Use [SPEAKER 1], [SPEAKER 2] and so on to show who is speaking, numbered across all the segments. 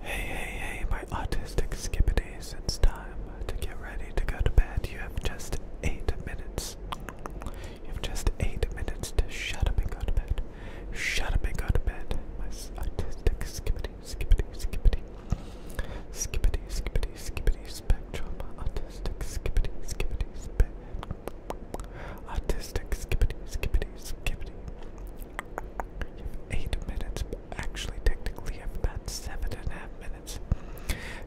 [SPEAKER 1] Hey, hey, hey, my autistic skippities, it's time to get ready to go to bed. You have just eight minutes. You have just eight minutes to shut up and go to bed. Shut up and go to bed, my autistic skippity, skippity, skippity. Skippity, skippity, skippity spectrum. Autistic skippity, skippity, spectrum. Autistic skippity, skippity, skippity. You have eight minutes, but actually, technically, you have about seven and a half minutes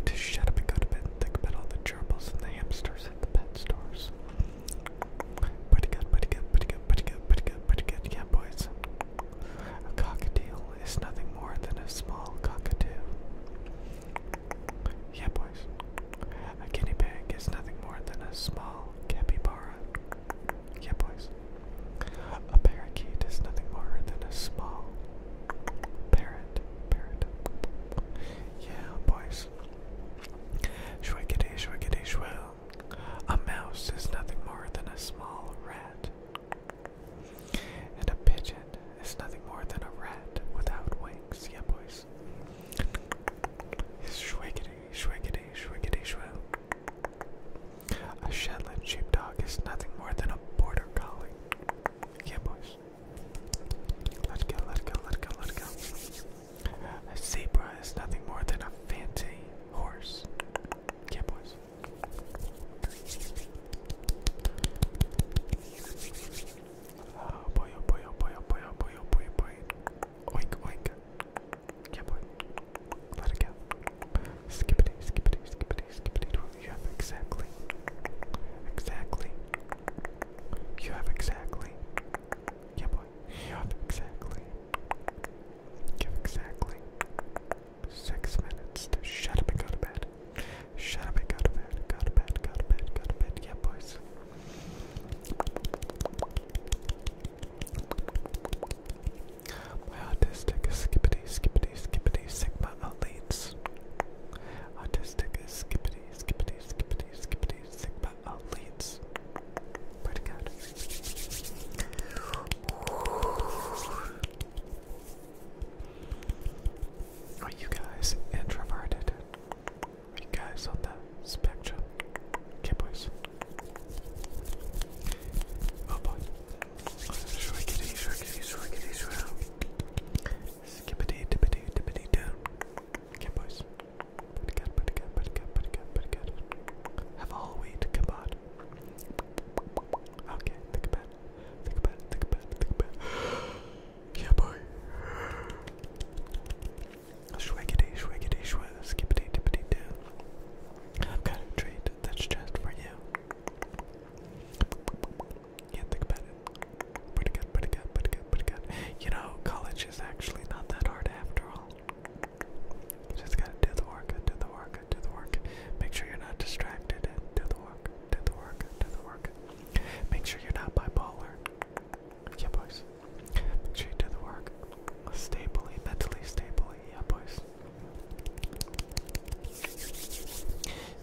[SPEAKER 1] to shut up and go to bed and think about all the gerbils and the hamsters at the pet stores. Pretty good, pretty good, pretty good, pretty good, pretty good, pretty good. Yeah, boys. A cockatiel is nothing more than a small cockatoo. Yeah, boys. A guinea pig is nothing more than a small capybara. Yeah, boys. A parakeet is nothing more than a small parrot. Parrot. Yeah, boys. Shwiggity, shwiggity, shwill. A mouse is nothing more than a small rat. And a pigeon is nothing more than a rat without wings. Yeah, boys. Shwiggity, Shwiggity, shwiggity, shwill. A Shetland sheepdog is nothing more than a border collie. Yeah, boys. Let's go, let's go, let's go, let's go. A zebra is nothing more than a fancy horse. Yeah, boys. Oh boy, oh boy, oh boy, oh, oh, oh, oh Oink, oink. Yeah, boy. Let it go. Skippity, skippity, skippity, skippity. You have exactly. Exactly. You have exactly. Yeah, boy. You have exactly. exactly. Six minutes shut up and go to bed. Shut up and go to bed. Go to bed. Go to bed. Go to bed. Yeah, boys. My autistic skippity, skippity, skippity, sigma elites. Autistic skippity, skippity, skippity, skippity, sigma elites. Pretty good. Are you guys introverted? You guys on the spectrum. Okay, boys. Oh boy. Shrinkity, shrinkity, shrinkity, shrinkity. Skippity, tippity, tippity, down. Okay, boys. Pretty good, pretty good, pretty good, pretty good, pretty good. Have all wheat, come on. Okay, think about Think about think about think about Yeah, boy. Shwiggity, shwiggity, shwig, skippity, dippity, doo. I've got a treat that's just for you. Yeah, think about Pretty good, pretty good, pretty good, pretty good. You know, college is actually not that hard after all. You just gotta do the work, do the work, do the work. Make sure you're not distracted do the work, do the work, do the work. Make sure you're not bipolar. Yeah, boys. Make sure you do the work. Stably, mentally stably. Yeah, boys.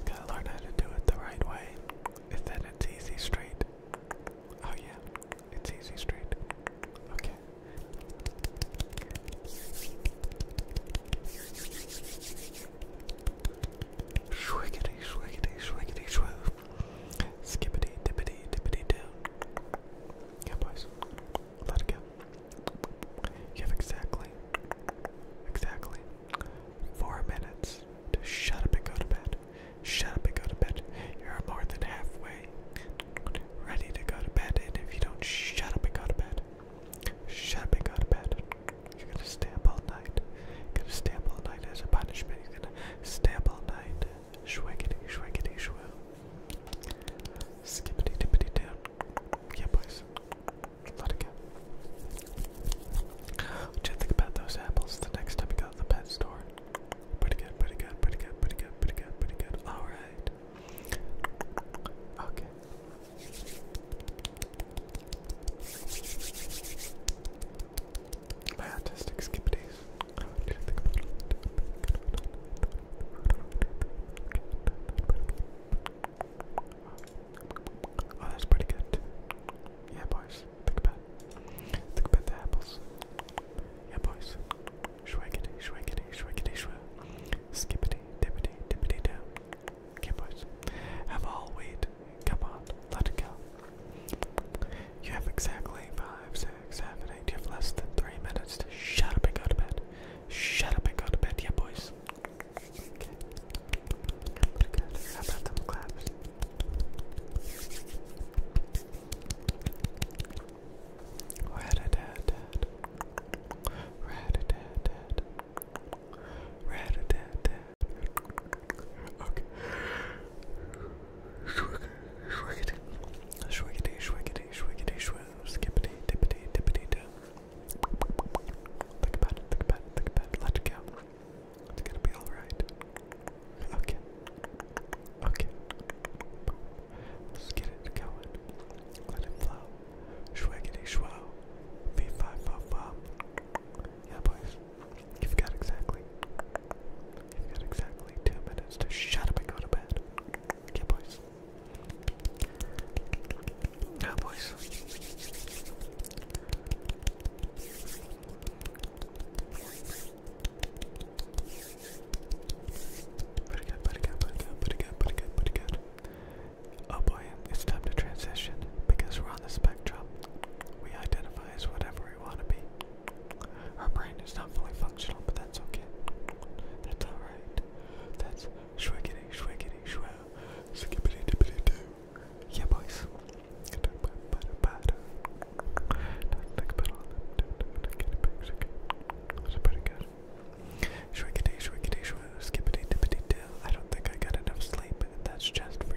[SPEAKER 1] gotta learn how to do it the right way. And then it's easy straight. Oh, yeah. It's easy straight. Okay. Shwiggity, shwiggity, shwiggity, shwoo. Skippity, dippity, dippity, down. Yeah, boys. Let it go. You exactly, exactly four minutes to shut up and go to bed. Shut up and go to bed. You're more than halfway ready to go to bed, and if you don't shut up and go to bed, shut up and go to bed. You're gonna stay up all night. You're gonna stay up all night as a punishment. Stay up all night. Shwaggity, shwaggity, shwoo. Skippity, dippity, down. Yeah, boys. Let it go. What you think about those apples the next time you go to the pet store? Pretty good, pretty good, pretty good, pretty good, pretty good, pretty good. Alright. Okay. My autistic skippities. I want you to think about it. Oh, that's pretty good. Yeah, boys. Think about it. Think about the apples. Yeah, boys. Shwaggity, shwaggity, shwaggity, shwa. Skippity, dippity, dippity, down. Yeah, boys. Have all weed. Come on, let it go. You have exactly five, six, seven, eight. You have less than three minutes to shut up and go to bed. Shut up and go to bed, yeah, boys. Okay. Pretty dad, dad. Red a dad, dad. Red a dad, dad. Okay. Shwiggity, shwiggity, shwiggity, shwiggity, shwiggity, shwim, skippity, tippity, tippity, dip. Think about it, think about it, think about it. Let it go. It's gonna be alright. Okay. Okay. Let's get it going. Let it flow. Shwiggity, shwow. V5, fo, fo. Yeah, boys. You've got exactly. You've got exactly two minutes to shut up and go to bed. Yeah, boys. Yeah, boys. Pretty good, pretty good, pretty good, pretty good, pretty Oh boy, it's time to transition because we're on the spectrum. We identify as whatever we want to be. Our brain is not fully functional, but that's okay. That's alright. That's shwiggity, shwiggity, shwell. Skippity dippity doo. Yeah, boys. That's pretty good. Shwiggity, shwiggity, shwell. Skippity dippity doo. I don't think I got enough sleep, and that's just for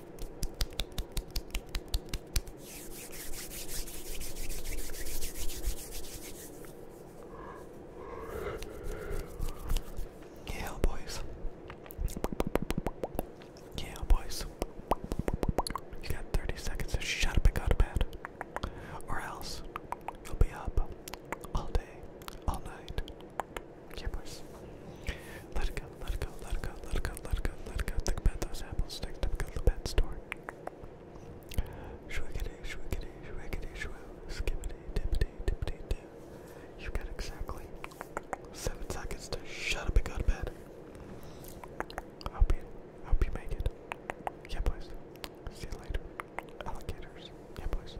[SPEAKER 1] Yeah, boys. Yeah, boys. You got 30 seconds to shut up and go to bed. Or else, you'll be up all day, all night, yeah, boys. Let it go, let it go, let it go, let it go, let it go, let it go. Think about those apples next time we go to the pet store. Shwiggity, shwiggity, shwiggity, shwoo, skibbity, dippity, dippity, dip. You got exactly seven seconds to shut up and go to bed. I hope you, I hope you make it. Yeah, boys. See you later. Alligators. Yeah, boys.